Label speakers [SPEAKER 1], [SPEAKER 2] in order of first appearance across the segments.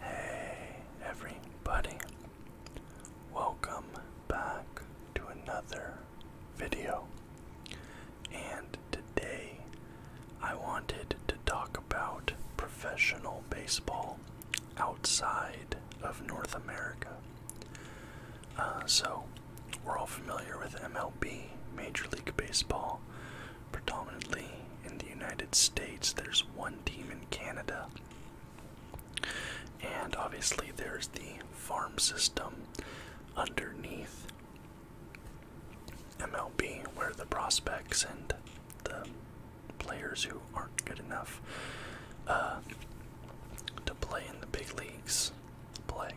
[SPEAKER 1] Hey everybody, welcome back to another video. And today I wanted to talk about professional baseball outside of North America. Uh, so, we're all familiar with MLB, Major League Baseball, predominantly in the United States. There's one team in Canada. And obviously, there's the farm system underneath MLB where the prospects and the players who aren't good enough uh, to play in the big leagues play.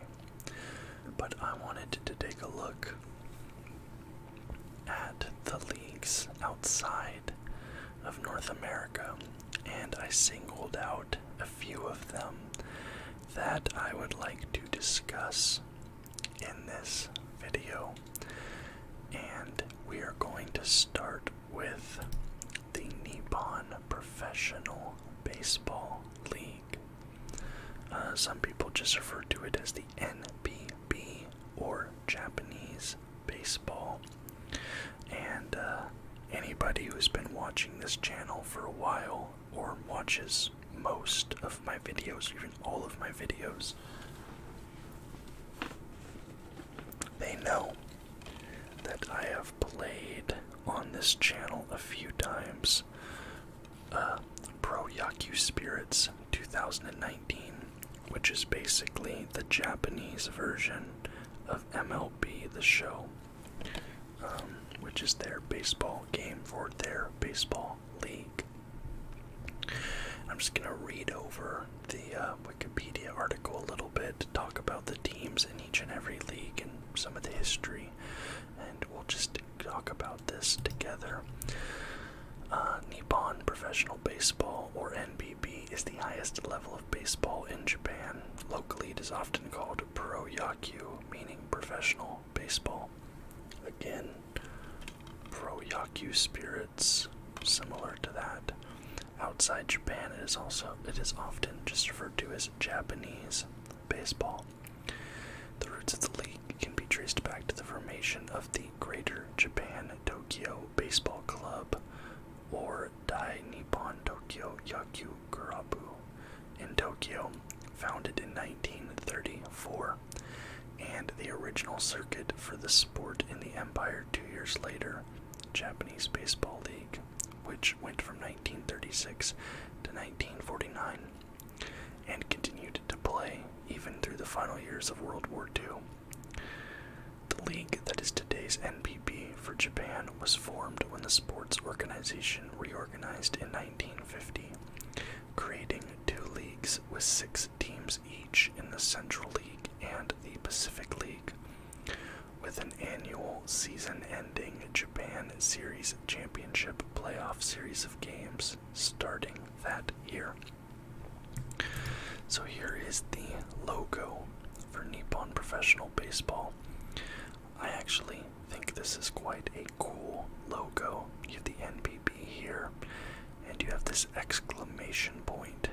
[SPEAKER 1] But I wanted to take a look at the leagues outside of North America, and I singled out a few of them that I would like to discuss in this video. And we are going to start with the Nippon Professional Baseball League. Uh, some people just refer to it as the NPB. B or Japanese baseball. And uh, anybody who's been watching this channel for a while or watches most of my videos, even all of my videos, they know that I have played on this channel a few times uh, Pro Yaku Spirits 2019, which is basically the Japanese version of MLB The Show, um, which is their baseball game for their baseball league. I'm just going to read over the uh, Wikipedia article a little bit to talk about the teams in each and every league and some of the history, and we'll just talk about this together. Uh, Nippon Professional Baseball, or NBB, is the highest level of baseball in Japan. Locally, it is often called pro Yaku, meaning professional baseball. Again, pro Yaku spirits, similar to that. Outside Japan, it is also it is often just referred to as Japanese baseball. The roots of the league can be traced back to the formation of the Greater Japan Tokyo Baseball Club or Dai Nippon Tokyo Yakugurabu in Tokyo, founded in 1934, and the original circuit for the sport in the empire two years later, Japanese Baseball League, which went from 1936 to 1949 and continued to play even through the final years of World War II. The league that is today's NPB for Japan was formed when the sports organization reorganized in 1950, creating two leagues with six teams each in the Central League and the Pacific League, with an annual season ending Japan Series Championship playoff series of games starting that year. So here is the logo for Nippon Professional Baseball. I actually think this is quite a cool logo. You have the NPB here, and you have this exclamation point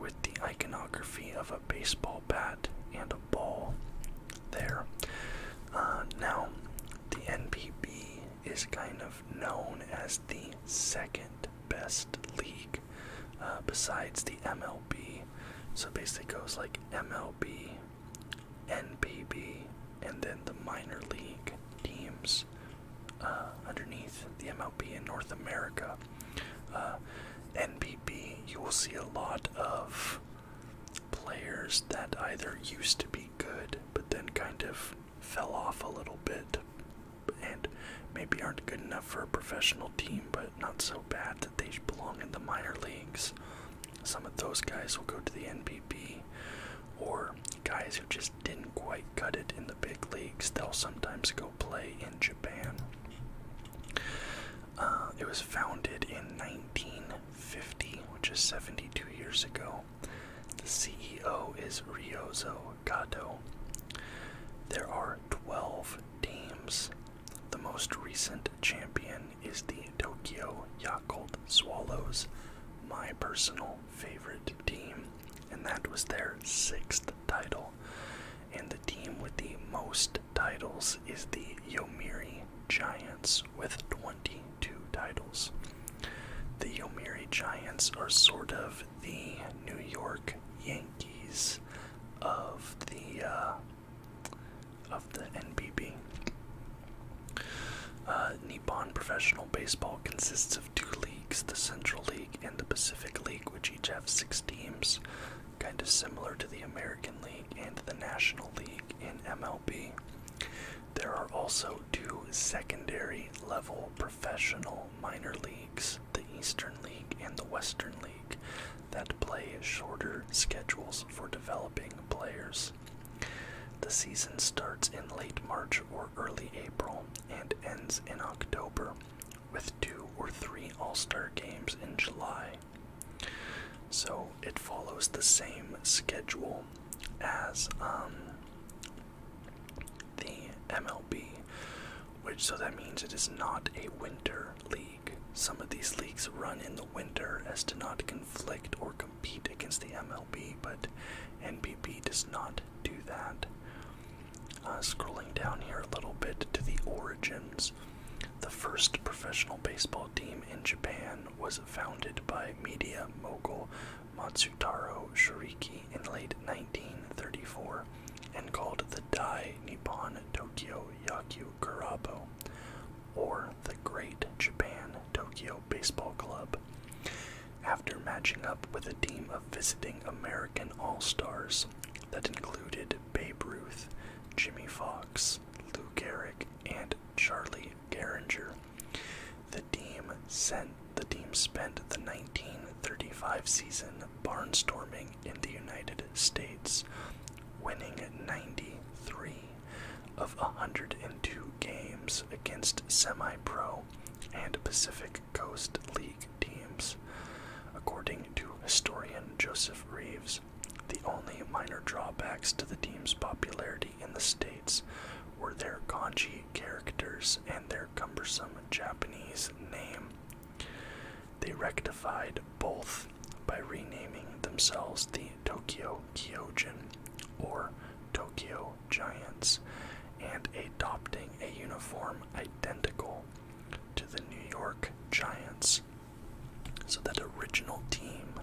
[SPEAKER 1] with the iconography of a baseball bat and a ball there. Uh,
[SPEAKER 2] now, the NPB is kind of known as the
[SPEAKER 1] second best league uh, besides the MLB. So basically, goes like MLB, NPB, and then the minor league teams uh, underneath the MLB in North America. Uh, NPB, you will see a lot of players that either used to be good but then kind of fell off a little bit and maybe aren't good enough for a professional team, but not so bad that they belong in the minor leagues. Some of those guys will go to the NPB, or guys who just didn't quite cut it in the big leagues, they'll sometimes go play in Japan. Uh, it was founded in 1950, which is 72 years ago, the CEO is Ryozo Kato. There are 12 teams. The most recent champion is the Tokyo Yakult Swallows, my personal favorite team, and that was their sixth title. And the team with the most titles is the Yomiri Giants with 20 two titles. The Yomiuri Giants are sort of the New York Yankees of the uh, of the NPB. Uh, Nippon Professional Baseball consists of two leagues, the Central League and the Pacific League, which each have six teams, kind of similar to the American League and the National League in MLB. There are also go to secondary level professional minor leagues, the Eastern League and the Western League, that play shorter schedules for developing players. The season starts in late March or early April and ends in October, with two or three All Star games in July. So it follows the same schedule as um, the MLB, which so that means it is not a winter league. Some of these leagues run in the winter as to not conflict or compete against the MLB, but NPB does not do that. Uh, scrolling down here a little bit to the origins. The first professional baseball team in Japan was founded by media mogul Matsutaro Shiriki in late 1934 and called the Dai Nippon Tokyo Yaku Kurabo, or the Great Japan Tokyo Baseball Club, after matching up with a team of visiting American All Stars that included Babe Ruth, Jimmy Fox, Lou Gehrig, and Charlie Garinger. The team spent the 1935 season barnstorming in the United States, winning 93 of 102 games against semi-pro and Pacific Coast League teams. According to historian Joseph Reeves, the only minor drawbacks to the team's popularity in the States were their kanji characters and their cumbersome Japanese name. They rectified both by renaming themselves the Tokyo Kyojin or Tokyo Giants and adopting a uniform identical to the New York Giants. So that original team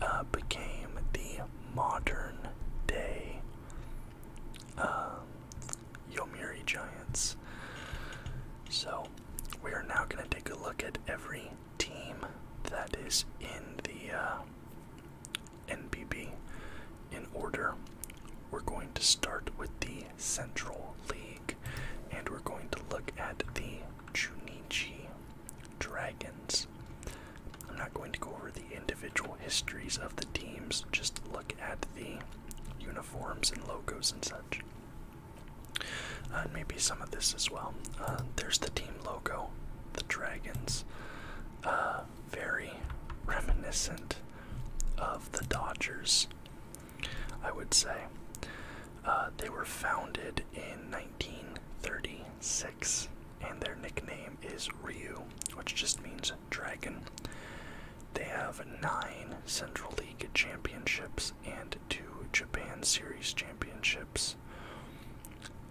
[SPEAKER 1] uh, became the modern day uh, Yomiuri Giants. So we are now going to take a look at every team that is in the uh, NPB in order. We're going to start with the Central League and we're going to look at the Chunichi Dragons. I'm not going to go over the individual histories of the teams, just look at the uniforms and logos and such. Uh, and maybe some of this as well. Uh, there's the team logo, the Dragons. Uh, very reminiscent of the Dodgers, I would say. they were founded in 1936 and their nickname is Ryu, which just means dragon. They have nine Central League championships and two Japan Series championships.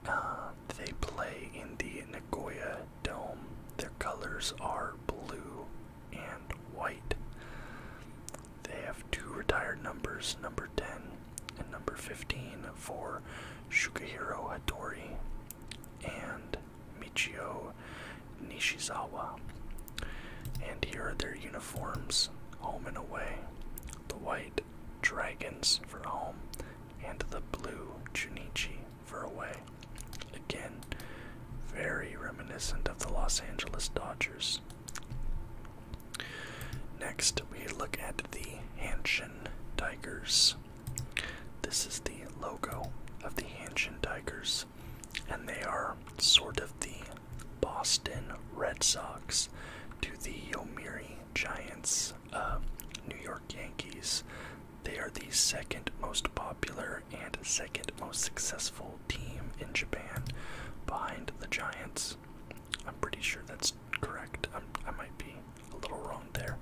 [SPEAKER 1] Uh, they play in the Nagoya Dome.
[SPEAKER 2] Their colors are blue and white. They have two retired numbers, number 10
[SPEAKER 1] and number 15, for Shukihiro Hattori and Michio Nishizawa. And here are their uniforms home and away the white dragons for home, and the blue Junichi for away. Again, very reminiscent of the Los Angeles Dodgers. Next, we look at the Hanshin Tigers. This is the logo of the Hanshin Tigers, and they are sort of the Boston Red Sox to the Yomiuri
[SPEAKER 2] Giants, of uh, New York Yankees. They are the second most
[SPEAKER 1] popular and second most successful team in Japan behind the Giants. I'm pretty sure that's correct. i I might be a little wrong there.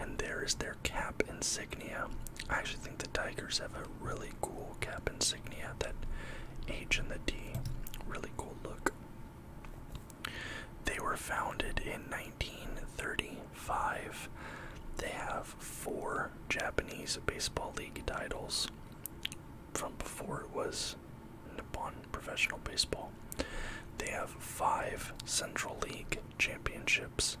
[SPEAKER 1] And there is their cap insignia. I actually think the Tigers have a really cool cap insignia. That H and the D, really cool look. They were founded in 1935. They have four Japanese Baseball League titles from before it was Nippon Professional Baseball. They have five Central League championships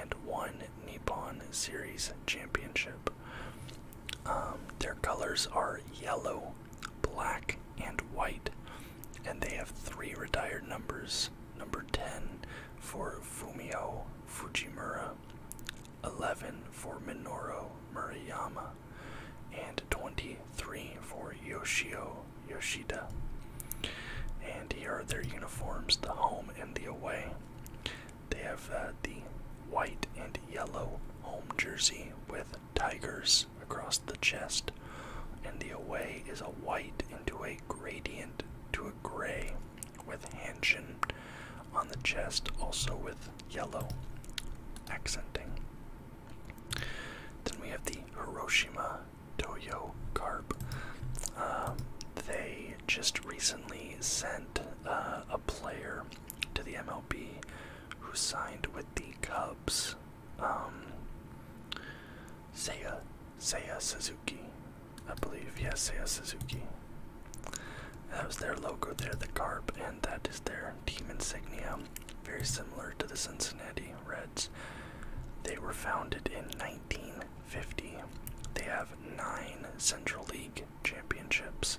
[SPEAKER 1] and one Nippon Series championship. Um, their colors are
[SPEAKER 2] yellow, black, and white, and they have three retired
[SPEAKER 1] numbers number 10 for Fumio Fujimura, 11 for Minoru Murayama, and 23
[SPEAKER 2] for Yoshio Yoshida. And here are their uniforms, the home and the away. They have uh, the white and yellow
[SPEAKER 1] home jersey with tigers across the chest, and the away is a white into a gradient to a gray with Hanshin on the chest, also with yellow accenting. Then we have the Hiroshima Toyo Carp. Um, they just recently sent uh, a player to the MLB who signed with the Cubs. Um, Seiya, Seiya Suzuki, I believe. Yes, yeah, Seiya Suzuki. That was their logo there, the carp, and that is their team insignia very similar to the Cincinnati Reds. They were founded in 1950. They have nine Central League championships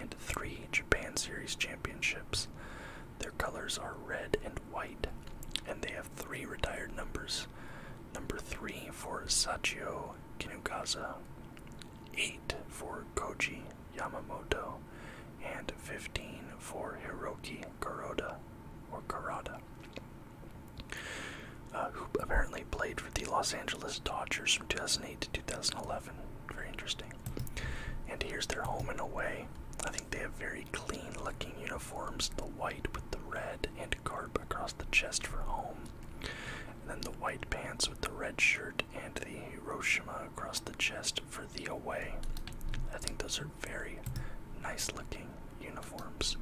[SPEAKER 1] and three Japan Series championships. Their colors are red and white, and they have three retired numbers. Number three for Sachio Kinugasa, eight for Koji Yamamoto, and 15 for Hiroki Kuroda, or Kurada, uh, who apparently played for the Los Angeles Dodgers from 2008 to 2011. Very interesting. And here's their home and away. I think they have very clean-looking uniforms, the white with the red and Carp across the chest for home, and then the white pants with the red shirt and the Hiroshima across the chest for the away. I think those are very nice looking uniforms.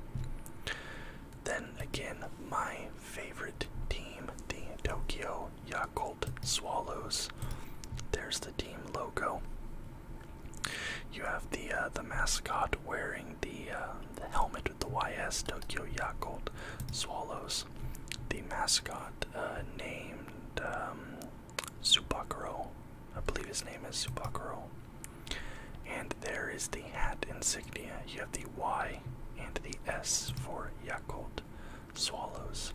[SPEAKER 1] Then again, my favorite team, the Tokyo Yakult Swallows. There's the team logo. You have the uh, the mascot wearing the uh, the helmet with the YS Tokyo Yakult Swallows. The mascot uh, named um, Subakuro. I believe his name is Subakuro.
[SPEAKER 2] And there
[SPEAKER 1] is the hat insignia. You have the Y and the S for Yakult swallows.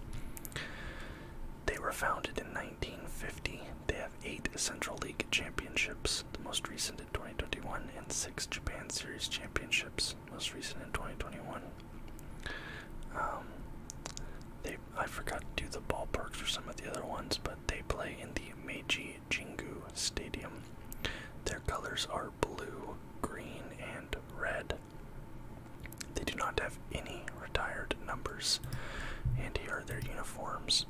[SPEAKER 1] They were founded in 1950. They have eight Central League championships, the most recent in 2021, and six Japan Series championships, most recent in 2021. Um, they I forgot to do the ballparks or some of the other ones, but they play in the Meiji
[SPEAKER 2] Jingu Stadium. Their colors are blue, green, and red. They do not have any retired numbers.
[SPEAKER 1] And here are their uniforms.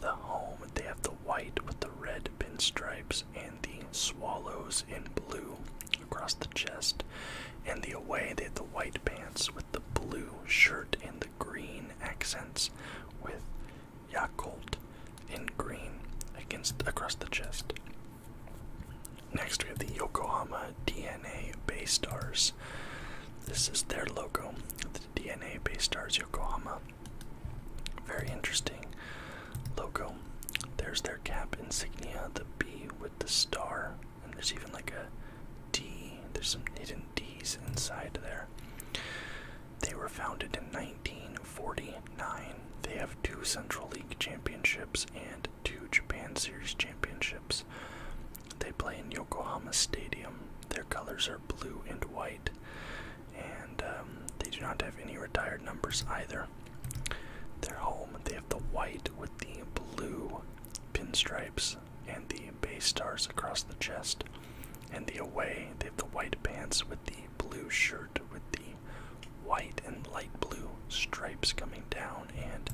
[SPEAKER 1] The home, they have the white with the red pinstripes and the swallows in blue across the chest. And the away, they have the white pants with the blue shirt and the green accents with Yakult in green against across the chest. Next we have the Yokohama DNA Bay Stars. This is their logo, the DNA Bay Stars Yokohama. Very interesting logo. There's their cap insignia, the B with the star and there's even like a D. There's some hidden D's inside there. They were founded in 1949. They have two Central League championships and two Japan Series championships. They play in Yokohama Stadium. Their colors are blue and white, and um, they do not have any retired numbers either. Their home, they have the white with the blue pinstripes and the bay stars across the chest. And the away, they have the white pants with the blue shirt with the white and light blue stripes coming down and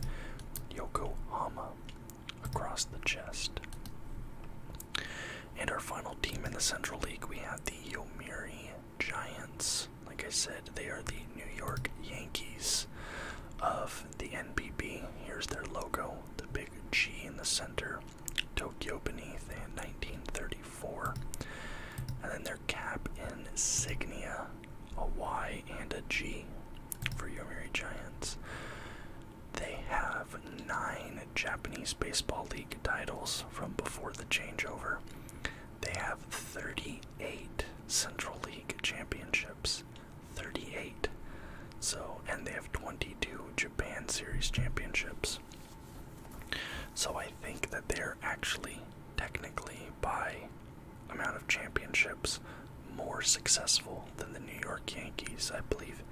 [SPEAKER 1] Yokohama across the chest. And our final team in the Central League, we have the Yomiuri Giants. Like I said, they are the New York Yankees of the NPB.
[SPEAKER 2] Here's their logo, the big G in the center, Tokyo beneath, and
[SPEAKER 1] 1934. And then their cap insignia, a Y and a G for Yomiuri Giants. They have nine Japanese Baseball League titles from before the changeover. They have 38 Central League championships. 38. So, and they have 22 Japan Series championships. So I think that they're actually technically by amount of championships more successful than the New York Yankees. I believe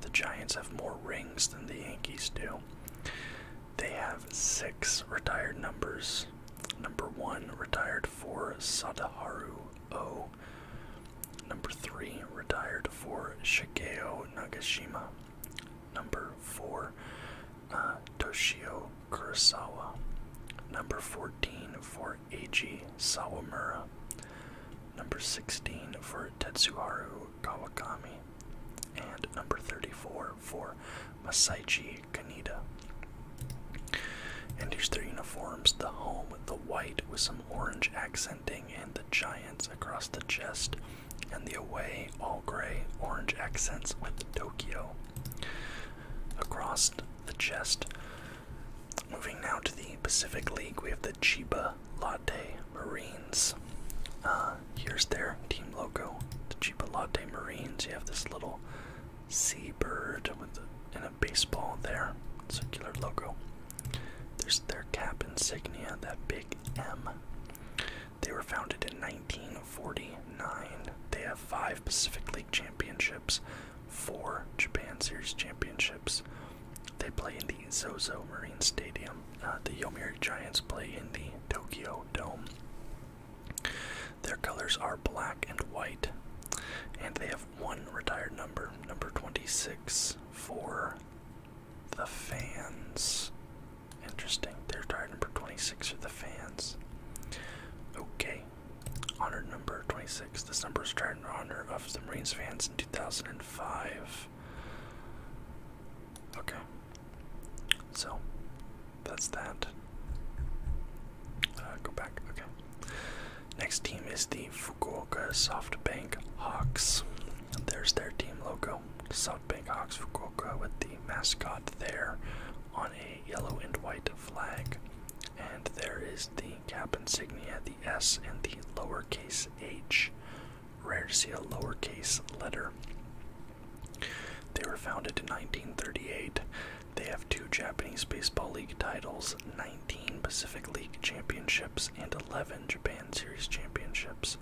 [SPEAKER 1] the Giants have more rings than the Yankees do. They have six retired numbers. Number one retired for Sadaharu O. Number three, retired for
[SPEAKER 2] Shigeo Nagashima. Number four, uh,
[SPEAKER 1] Toshio Kurosawa. Number 14 for Eiji Sawamura. Number 16 for Tetsuhiro Kawakami. And number 34 for Masaichi Kaneda. And here's their uniforms. The home the white with some orange accenting and the giants across the chest, and the away all gray orange accents with Tokyo across the chest. Moving now to the Pacific League, we have the Chiba Latte Marines. Uh, here's their team logo, the Chiba Latte Marines. You have this little seabird with an baseball there, circular logo. There's their cap insignia, that big M. They were founded in 1949. They have five Pacific League championships, four Japan Series championships. They play in the Zozo Marine Stadium. Uh, the Yomiuri Giants play in the Tokyo Dome. Their colors are black and white, and they have one retired number, number 26, for the fans. Interesting. They're retired number 26 for the fans. Okay. Honored number 26. This number is retired in honor of the Marines fans in 2005. Okay. So, that's that. Uh, go back. Okay. Next team is the Fukuoka SoftBank Hawks. There's their team logo. SoftBank Hawks Fukuoka with the mascot there on a yellow and white flag. And there is the cap insignia, the S and the lowercase h. Rare to see a lowercase letter. They were founded in 1938. They have two Japanese Baseball League titles, 19 Pacific League championships and 11 Japan Series championships.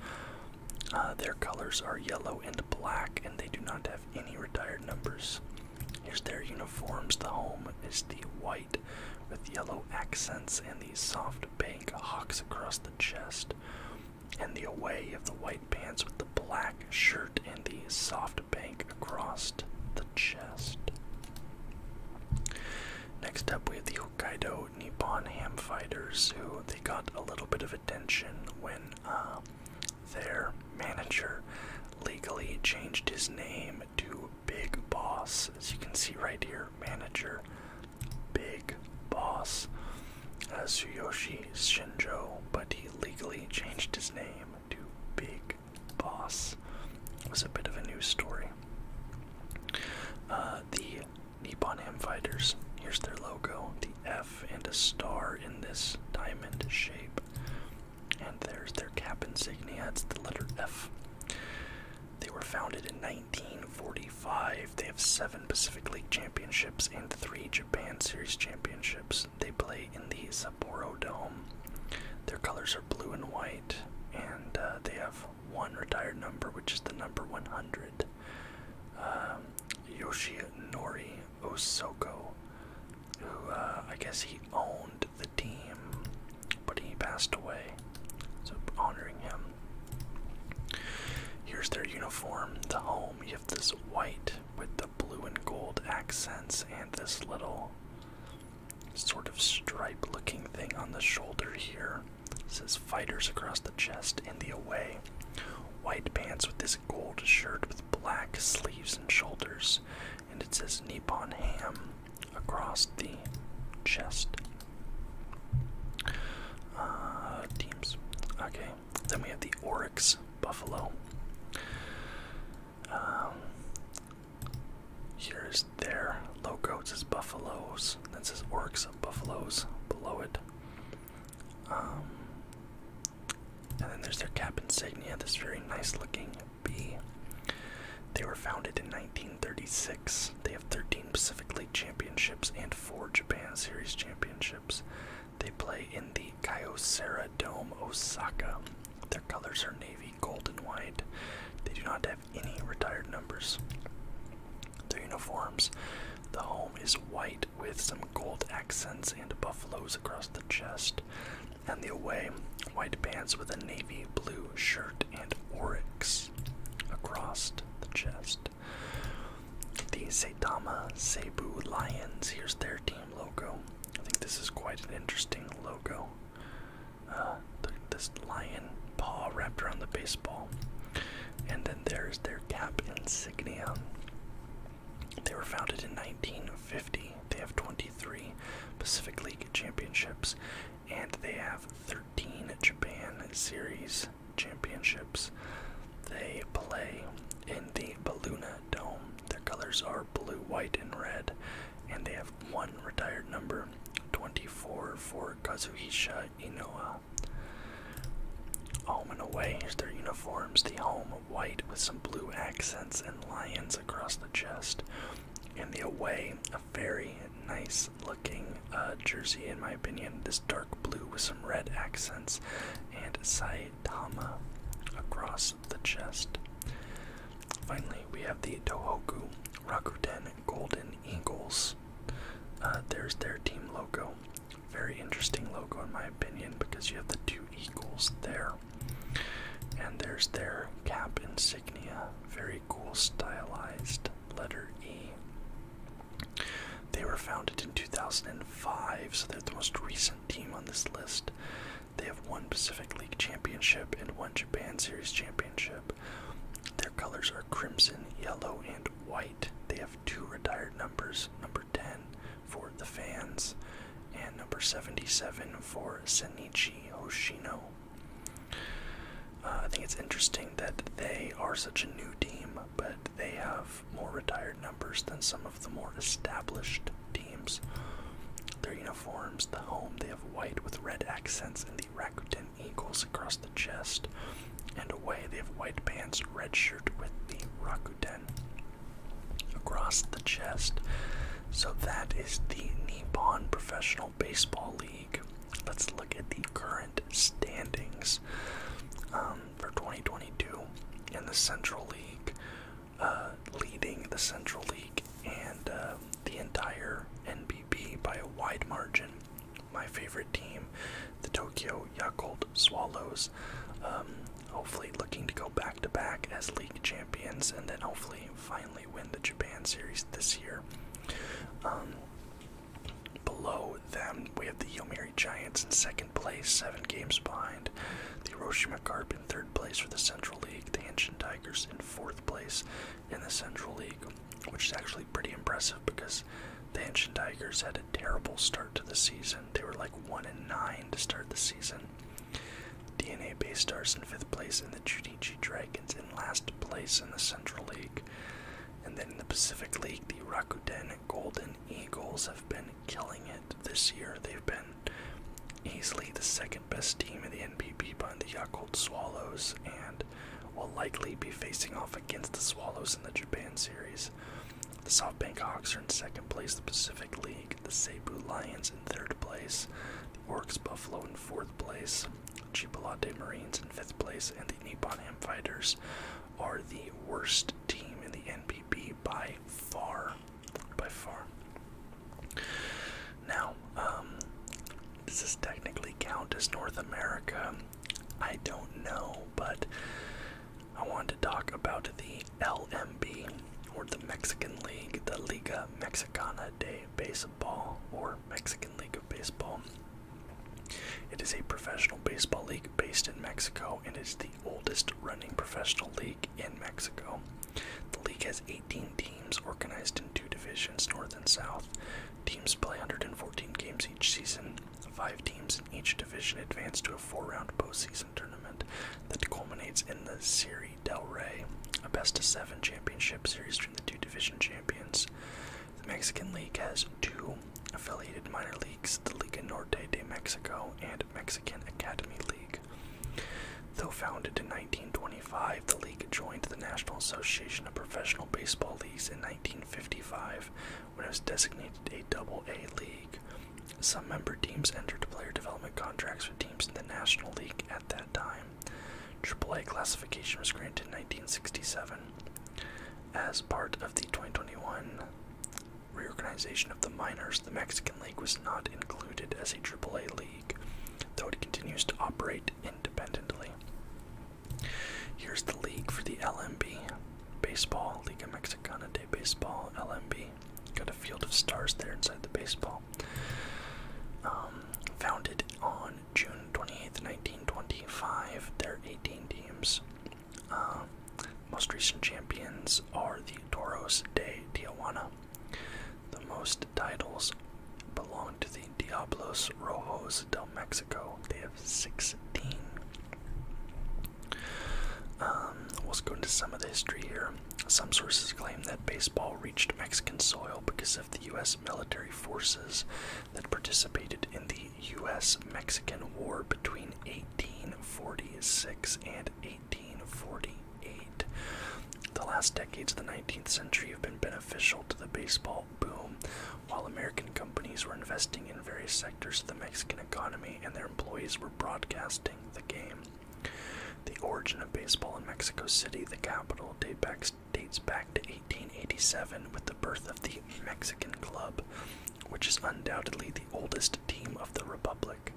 [SPEAKER 1] Uh, their colors are yellow and black, and they do not have any retired numbers. Here's their uniforms. The home is the white with yellow accents and the soft bank hawks across the chest. And the away of the white pants with the black shirt and the soft bank across chest. Next up, we have the Hokkaido Nippon Ham Fighters, who they got a little bit of attention when uh, their manager legally changed his name to Big Boss. As you can see right here, manager Big Boss uh, Shinjo, but he legally changed his name to Big Boss was a bit of a news story. Uh, the Nippon Ham Fighters, here's their logo, the F and a star in this diamond shape. And there's their cap insignia, it's the letter F. They were founded in 1945. They have seven Pacific League championships and three Japan Series championships. They play in the Sapporo Dome. Their colors are blue and white and uh, they have one retired number, which is the number 100. Um, Yoshinori Osoko, who uh, I guess he owned the team, but he passed away, so honoring him. Here's their uniform. The home you have this white with the blue and gold accents and this little sort of stripe looking thing on the shoulder here. says fighters across the chest in the away. White pants with this gold shirt with black sleeves and shoulders. And it says Nippon Ham across the chest. Uh, teams. Okay. Then we have the Oryx Buffalo. Um, Here's their logo. as buffaloes. That says orcs of buffaloes below it. Um, and then there's their cap insignia, this very nice looking bee. They were founded in 1936. They have 13 Pacific League championships and 4 Japan Series championships. They play in the Kyocera Dome, Osaka. Their colors are navy navy, white. They do not have any retired numbers. Their uniforms. The home is white with some gold accents and buffaloes across the chest. And the away, white pants with a navy blue shirt and oryx across the chest. The Saitama Seibu Lions, here's their team logo. I think this is quite an interesting logo uh, this lion paw wrapped around the baseball. And then there's their cap insignia. They were founded in 1950. They have 23 Pacific League championships, and they have 13 Japan Series championships. They play in the Baluna Dome. Their colors are blue, white, and red and they have one retired number 24 for Kazuhisha Inoue. Home and away is their uniforms, the home white with some blue accents and lions across the chest, and the away a very nice looking uh, jersey in my opinion, this dark blue with some red accents and Saitama across the chest. Finally, we have the Tohoku Rakuten Golden Eagles. Uh, there's their team logo. Very interesting logo, in my opinion, because you have the two eagles there. And there's their cap insignia. Very cool, stylized letter E. They were founded in 2005, so they're the most recent team on this list. They have one Pacific League championship and one Japan Series championship. Their colors are crimson, yellow, and white. They have two retired numbers number 10 for the fans and number 77 for Senichi Oshino. Uh, I think it's interesting that they are such a new team, but they have more retired numbers than some of the more established teams. Their uniforms, the home, they have white with red accents and the Rakuten Eagles across the chest. And away, they have white pants, red shirt with the Rakuten across the chest. So that is the Nippon Professional Baseball League. Let's look at the current standings um, for 2022 in the Central League. Uh, leading the Central League and um, the entire NBB by a wide margin. My favorite team, the Tokyo Yakult Swallows, um, hopefully looking to go back to back as league champions and then hopefully finally win the Japan series this year. Um, below them, we have the Yomiuri Giants in second place, seven games behind. The Hiroshima Carp in third place for the Central League. The Tigers in fourth place in the Central League, which is actually pretty impressive because the Ancient Tigers had a terrible start to the season. They were like one in nine to start the season. DNA Base Stars in fifth place, and the Judici Dragons in last place in the Central League. And then in the Pacific League, the Rakuten Golden Eagles have been killing it this year. They've been easily the second best team in the NPB behind the Yakult Swallows and will likely be facing off against the Swallows in the Japan series. The SoftBank Hawks are in second place, the Pacific League, the Cebu Lions in third place, the Orcs Buffalo in fourth place, Chipolate Marines in fifth place, and the Nippon Ham Fighters are the worst team in the NPB by far by far. Now, um, does this technically count as North America? I don't know, but I want to talk about the LMB, or the Mexican League, the Liga Mexicana de Baseball, or Mexican League of Baseball. It is a professional baseball league based in Mexico and is the oldest running professional league in Mexico. The league has 18 teams organized in two divisions, North and South. Teams play 114 games each season. Five teams in each division advance to a four-round postseason tournament that culminates in the Serie del Rey, a best-of-seven championship series between the two division champions. The Mexican League has two affiliated minor leagues, the Liga Norte de Mexico and Mexican Academy League. Though founded in 1925, the league joined the National Association of Professional Baseball Leagues in 1955 when it was designated a double-A league. Some member teams entered player development contracts with teams in the National League at that time. AAA classification was granted in 1967. As part of the 2021 reorganization of the minors, the Mexican League was not included as a AAA league though it continues to operate independently. Here's the league for the LMB Baseball, Liga Mexicana de Baseball, LMB. Got a field of stars there inside the baseball. Um, founded on June 28th, 1925, there are 18 teams. Uh, most recent champions are the Toros de Tijuana. The most titles belong to the Diablos Rojos del Mexico. They have 16. let um, Let's go into some of the history here. Some sources claim that baseball reached Mexican soil because of the U.S. military forces that participated in the U.S. Mexican War between 1846 and 1948. The last decades of the 19th century have been beneficial to the baseball boom, while American companies were investing in various sectors of the Mexican economy and their employees were broadcasting the game. The origin of baseball in Mexico City, the capital, dates back to 1887 with the birth of the Mexican Club, which is undoubtedly the oldest team of the Republic.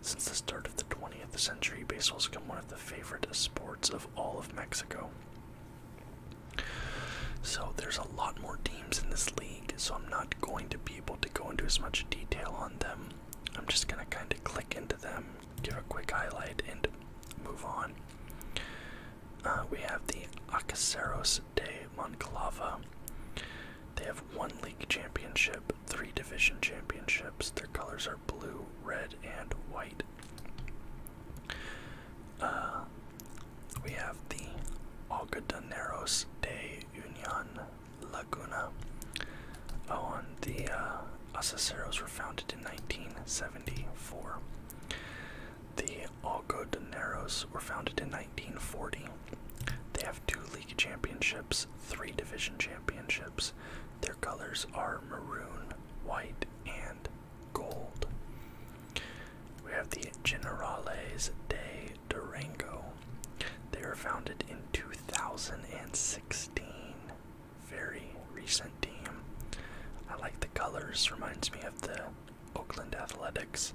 [SPEAKER 1] Since the start of the 20th century, baseball has become one of the favorite sports of all of Mexico. So there's a lot more teams in this league, so I'm not going to be able to go into as much detail on them. I'm just going to kind of click into them, give a quick highlight, and move on. Uh, we have the Acaceros de Monclova. They have one league championship, three division championships. Their colors are blue, red, and white. Uh, we have the Algodoneros de Union Laguna. Oh, and the uh, were founded in 1974. The Algodoneros were founded in 1940. They have two league championships, three division championships, their colors are maroon, white, and gold. We have the Generales de Durango. They were founded in 2016. Very recent team. I like the colors, reminds me of the Oakland Athletics,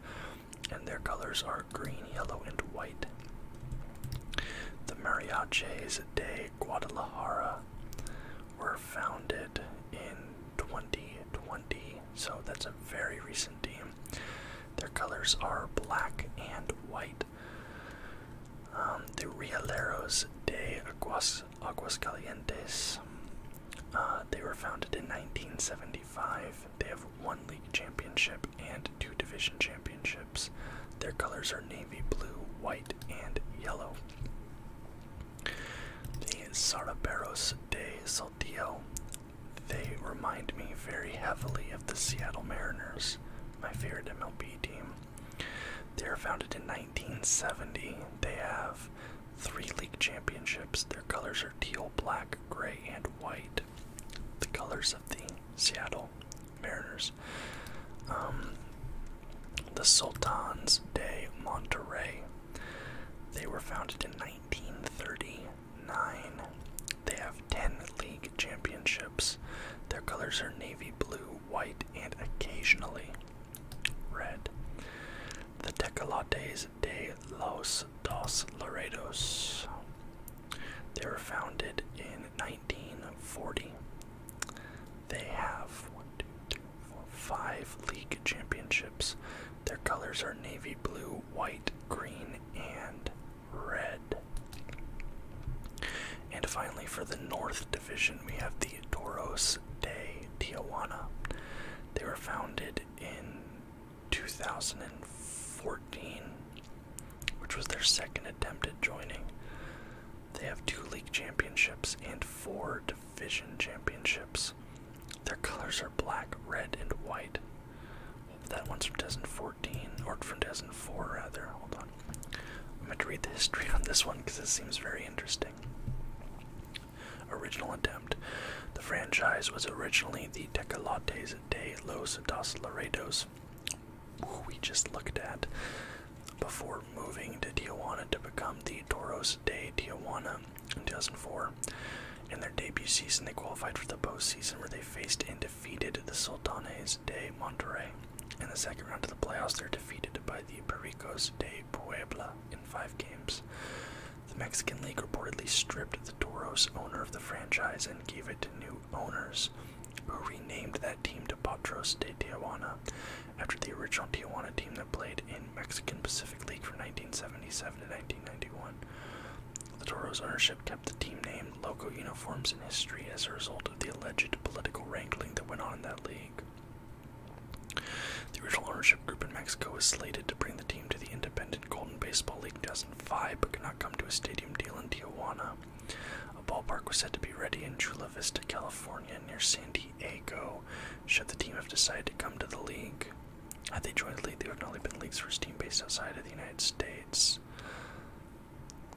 [SPEAKER 1] and their colors are green, yellow, and white. The Mariaches de Guadalajara were founded in 2020, so that's a very recent team. Their colors are black and white. Um, the Realeros de Aguas, Aguascalientes. Uh, they were founded in 1975. They have one league championship and two division championships. Their colors are navy blue, white, and yellow. The Saraperos de Saltillo. They remind me very heavily of the Seattle Mariners, my favorite MLB team. They are founded in 1970. They have three league championships. Their colors are teal, black, gray, and white. The colors of the Seattle Mariners. Um, the Sultans de Monterrey. They were founded in 1939. They have 10 league championships. Their colors are navy blue, white, and occasionally red. The Tecolotes de los Dos Laredos. They were founded in 1940. They have one, two, three, four, five league championships. Their colors are navy blue, white, green, and red. And finally, for the North Division, we have the Toros de Tijuana. They were founded in 2014 which was their second attempt at joining. They have two league championships and four division championships. Their colors are black, red, and white. That one's from 2014, or from 2004 rather. Hold on. I'm going to read the history on this one because it seems very interesting. Original attempt. The franchise was originally the Tecolotes de los Dos Laredos, we just looked at before moving to Tijuana to become the Toros de Tijuana in 2004. In their debut season, they qualified for the postseason where they faced and defeated the Sultanes de Monterrey. In the second round of the playoffs, they were defeated by the Pericos de Puebla in five games. The Mexican League reportedly stripped the Toros owner of the franchise and gave it to new owners who renamed that team to Potros de Tijuana after the original Tijuana team that played in Mexican Pacific League from 1977 to 1991. The Toros ownership kept the team name, local uniforms, and history as a result of the alleged political wrangling that went on in that league. The original ownership group in Mexico was slated to bring the team to the Independent Golden Baseball League in five, but could not come to a stadium deal in Tijuana. A ballpark was said to be ready in Chula Vista, California, near San Diego, should the team have decided to come to the league. Had they joined the league, there would have only been league's for team based outside of the United States.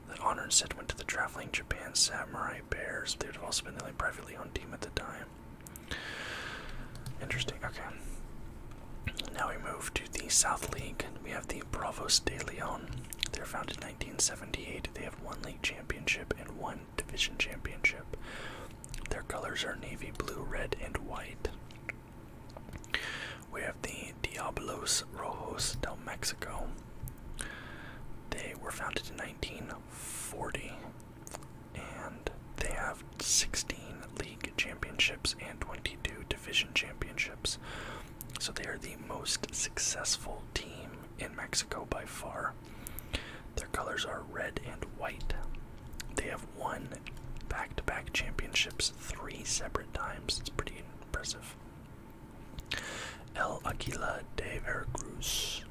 [SPEAKER 1] The honor instead went to the traveling Japan Samurai Bears. They would have also been the only privately owned team at the time. Interesting, okay. Now we move to the South League. We have the Bravos de Leon. They They're founded 1978, they have one league championship and one division championship. Their colors are navy blue, red, and white. We have the Diablos Rojos del Mexico. They were founded in 1940 and they have 16 league championships and 22 division championships. So they are the most successful team in Mexico by far. Their colors are red and white. They have won back to back championships three separate times. It's pretty impressive. El Aquila de Veracruz.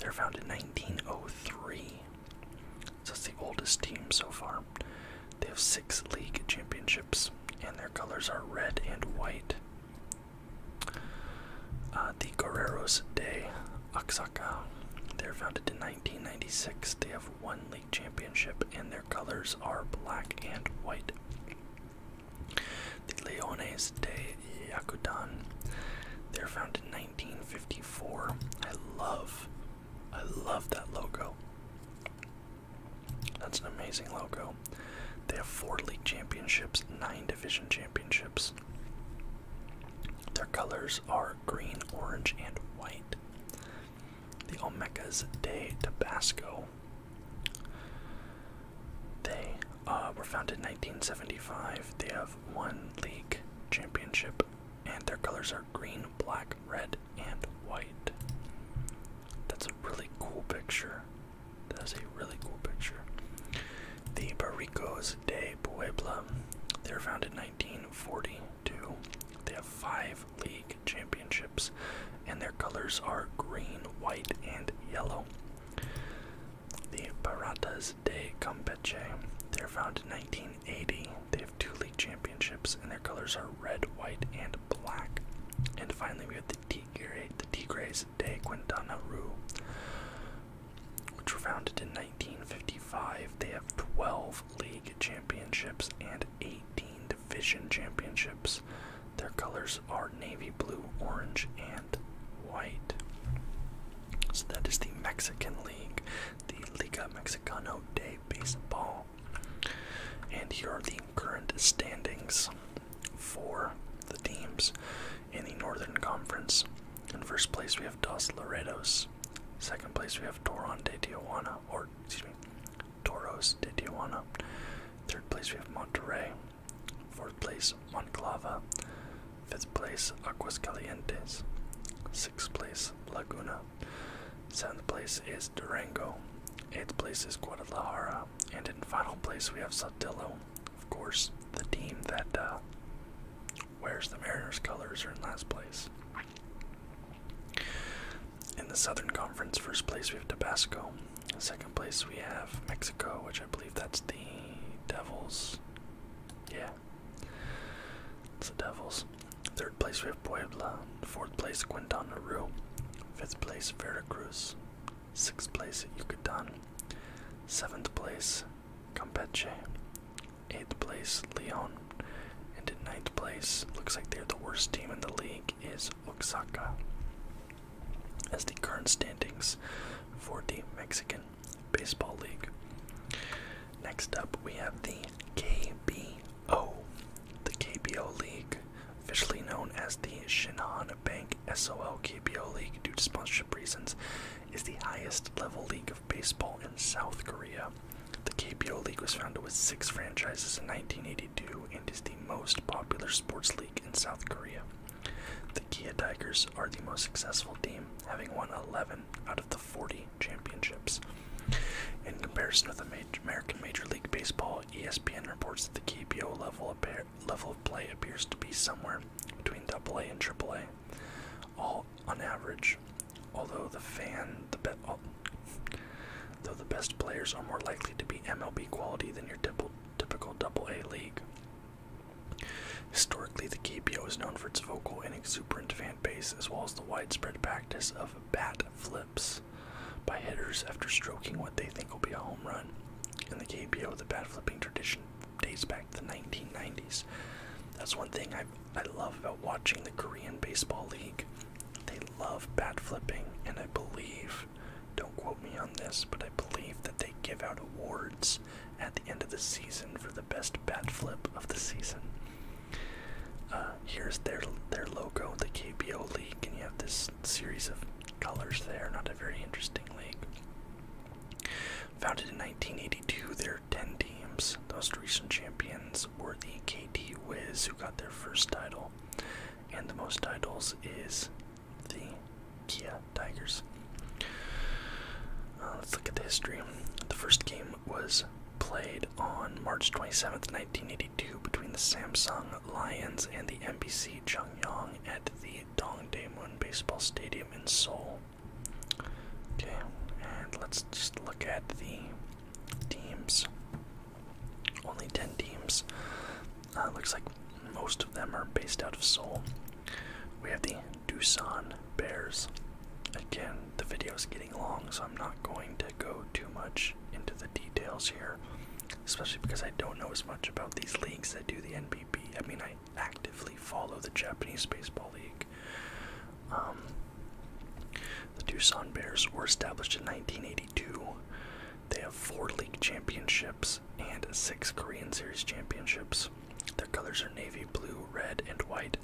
[SPEAKER 1] they were founded in 1903. So it's the oldest team so far. They have six league championships, and their colors are red and white. Uh, the Guerreros de Oaxaca. They're founded in 1996. They have one league championship, and their colors are black and white. The Leones de Yakutan. They're founded in 1954. I love, I love that logo. That's an amazing logo. They have four league championships, nine division championships. Their colors are green, orange, and white. The Olmecas de Tabasco. They uh, were founded in 1975. They have one league championship, and their colors are green,
[SPEAKER 2] black, red, and white. That's a really cool picture. That's a really cool picture. The Barrios de Puebla. They were founded in 1942.
[SPEAKER 1] They have five league championships, and their colors are green, white, and yellow. The Baratas de Campeche. They were founded in 1980. They have two league championships, and their colors are red, white, and black. And finally, we have the Tigray, the Tigres de Quintana
[SPEAKER 2] Roo, which were founded in 1955. They have
[SPEAKER 1] 12 league championships and 18 division championships. Their colors are navy blue, orange, and white. So that is the Mexican League, the Liga Mexicana de Baseball. And here are the current standings for the teams in the Northern Conference. In first place, we have Dos Laredos. Second place, we have Toron de Tijuana, or excuse me, Toros de Tijuana. Third place, we have Monterrey. Fourth place, Monclava. Fifth place, Aguascalientes. Sixth place, Laguna. Seventh place is Durango. Eighth place is Guadalajara. Uh, and in final place, we have Sotillo, of course, the team that uh, wears the Mariners' colors are in last place. In the Southern Conference, first place we have Tabasco. second place we have Mexico, which I believe that's the Devils. Yeah, it's the Devils. Third place we have Puebla. Fourth place Quintana Roo. Fifth place Veracruz. Sixth place, Yucatan. Seventh place, Campeche. Eighth place, Leon. And in ninth place, looks like they're the worst team in the league, is Oaxaca. As the current standings for the Mexican Baseball League. Next up, we have the KBO. The KBO League officially known as the Shinhan Bank SOL KBO League due to sponsorship reasons, is the highest level league of baseball in South Korea. The KBO League was founded with six franchises in 1982 and is the most popular sports league in South Korea. The Kia Tigers are the most successful team, having won 11 out of the 40 championships. In comparison with American Major League Baseball, ESPN reports that the KBO level of, level of play appears to be somewhere between AA and AAA, all on average, although the fan the be though the best players are more likely to be MLB quality than your typical Double A league. Historically, the KBO is known for its vocal and exuberant fan base, as well as the widespread practice of bat flip by hitters after stroking what they think will be a home run. In the KBO, the bat flipping tradition dates back to the 1990s. That's one thing I I love about watching the Korean Baseball League. They love bat flipping, and I believe, don't quote me on this, but I believe that they give out awards at the end of the season for the best bat flip of the season. Uh, here's their their logo, the KBO League, and you have this series of colors there. Not a very interesting league. Founded in 1982, there are 10 teams. The most recent champions were the KT Wiz, who got their first title, and the most titles is the Kia Tigers. Uh, let's look at the history. The first game was played on March 27th, 1982 between the Samsung Lions and the MBC Chungyang at the Dongdaemun Baseball Stadium in Seoul. Okay, and let's just look at the teams. Only 10 teams. Uh, looks like most of them are based out of Seoul. We have the Dusan Bears. Again, the video is getting long, so I'm not going to go too much into the details here especially because I don't know as much about these leagues that do the NBB. I mean, I actively follow the Japanese Baseball League. Um, the Tucson Bears were established in 1982. They have four league championships and six Korean Series championships. Their colors are navy blue, red, and white,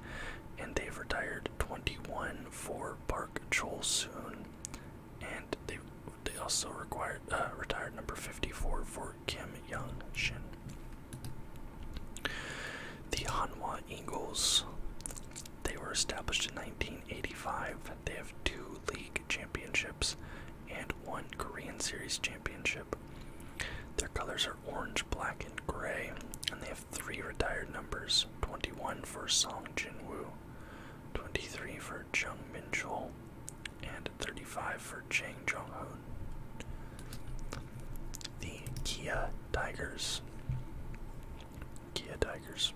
[SPEAKER 1] and they've retired 21 for Park Chol Soon
[SPEAKER 2] and they they also required uh, retired number 54 for Kim Young
[SPEAKER 1] Shin. The Hanwha Eagles, they were established in 1985. They have two league championships and one Korean Series championship. Their colors are orange, black, and gray, and they have three retired numbers 21 for Song Jin Woo, 23 for for Min Chul and 35 for Chang Jong Hoon. The Kia Tigers. Kia Tigers.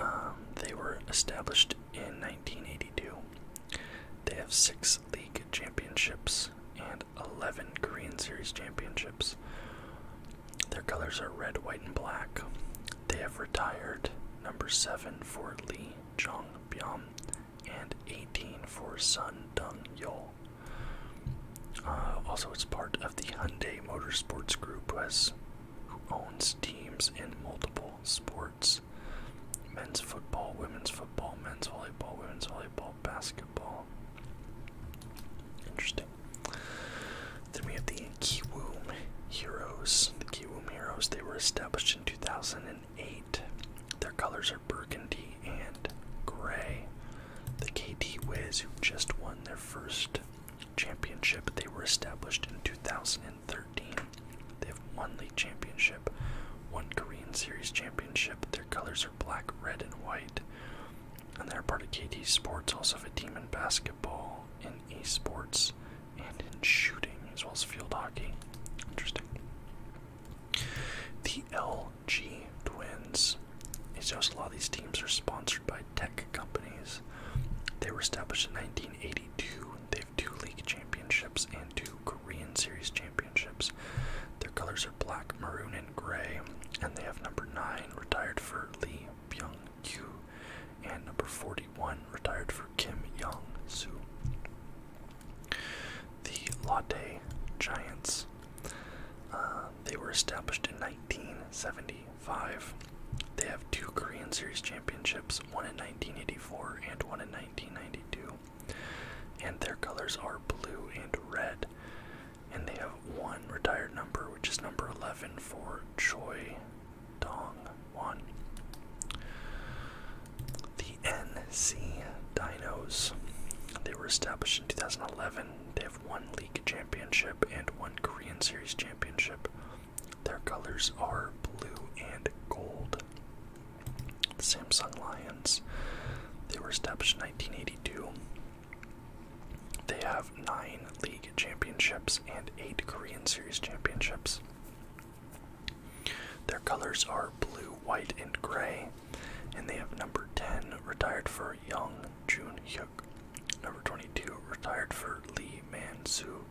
[SPEAKER 1] Um, they were established in 1982. They have six league championships and 11 Korean Series championships. Their colors are red, white, and black. They have retired number 7 for Lee Jong Byum and 18 for Sun Dong Yol. Uh, also, it's part of the Hyundai Motorsports Group, who, who owns teams in multiple sports men's football, women's football, men's volleyball, women's volleyball, basketball. Interesting. Then we have the Kiwoom Heroes. The Kiwoom Heroes, they were established in 2008. Their colors are burgundy and gray. The KT Wiz, who just won their first championship, they were established in 2013. They have one league championship, one Korean Series championship. Their colors are black, red, and white. And they're part of KT Sports, also have a team in basketball, esports and in shooting, as well as field hockey. Interesting. The LG Twins. It's just a lot of these teams are sponsored by tech companies. They were established in 1982. They have two league championships and two Korean Series championships. Their colors are black, maroon, and gray, and they have number nine retired for Lee Byung Q, and number 41 retired for Kim Young Soo. The Latte Giants. Uh, they were established in 1975. They have two Korean Series championships, one in 1984 and one in 1992. And their colors are blue and red. And they have one retired number, which is number 11 for Choi Dong The NC Dinos. They were established in 2011. They have one league championship and one Korean Series championship. Their colors are blue and gold. Samsung Lions. They were established in 1982. They have nine league championships and eight Korean Series championships. Their colors are blue, white, and gray, and they have number
[SPEAKER 2] 10 retired for Young Jun Hyuk, number 22 retired for Lee Man
[SPEAKER 1] Soo,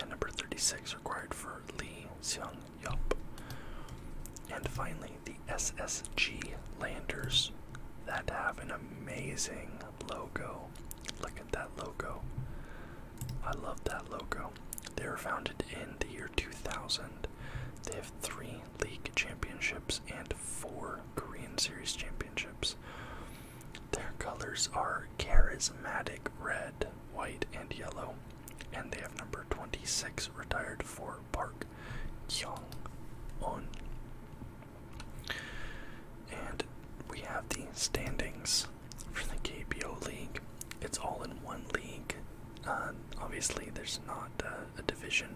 [SPEAKER 1] and number 36 required for Lee Seung Yup. And finally, the SSG Landers that have an amazing logo. Look that logo. I love that logo. They were founded in the year 2000. They have three league championships and four Korean Series championships. Their colors are charismatic red, white, and yellow, and they have number 26 retired for Park Kyung Un. And we have the standings for the KBO League. It's all in one league. Uh, obviously, there's not uh, a division,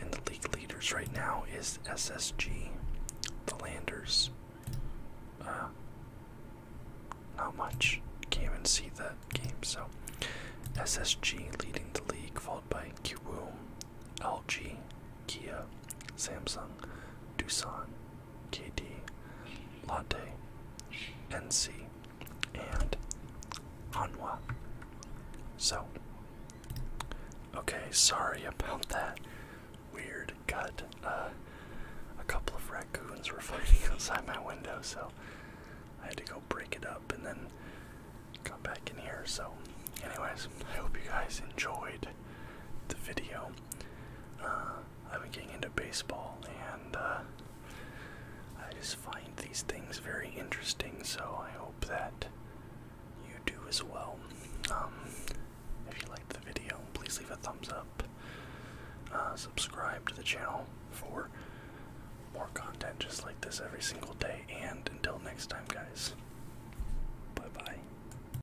[SPEAKER 1] and the league leaders right now is SSG, the Landers. Uh, not much. Can't even see that game. So, SSG leading the league, followed by Qwoom, LG, Kia, Samsung, Doosan, KD, Latte, NC, and Hanwa. So, okay, sorry about that weird cut. Uh, a couple of raccoons were fighting outside my window, so I had to go break it up and then got back in here. So, anyways, I hope you guys enjoyed the video. Uh, I've been getting into baseball and uh, I just find these things very interesting, so I hope that you do as well. Um, if you liked the video, please leave a thumbs up. Uh, subscribe to the channel for more content
[SPEAKER 2] just like this every single day. And until next time, guys, bye bye.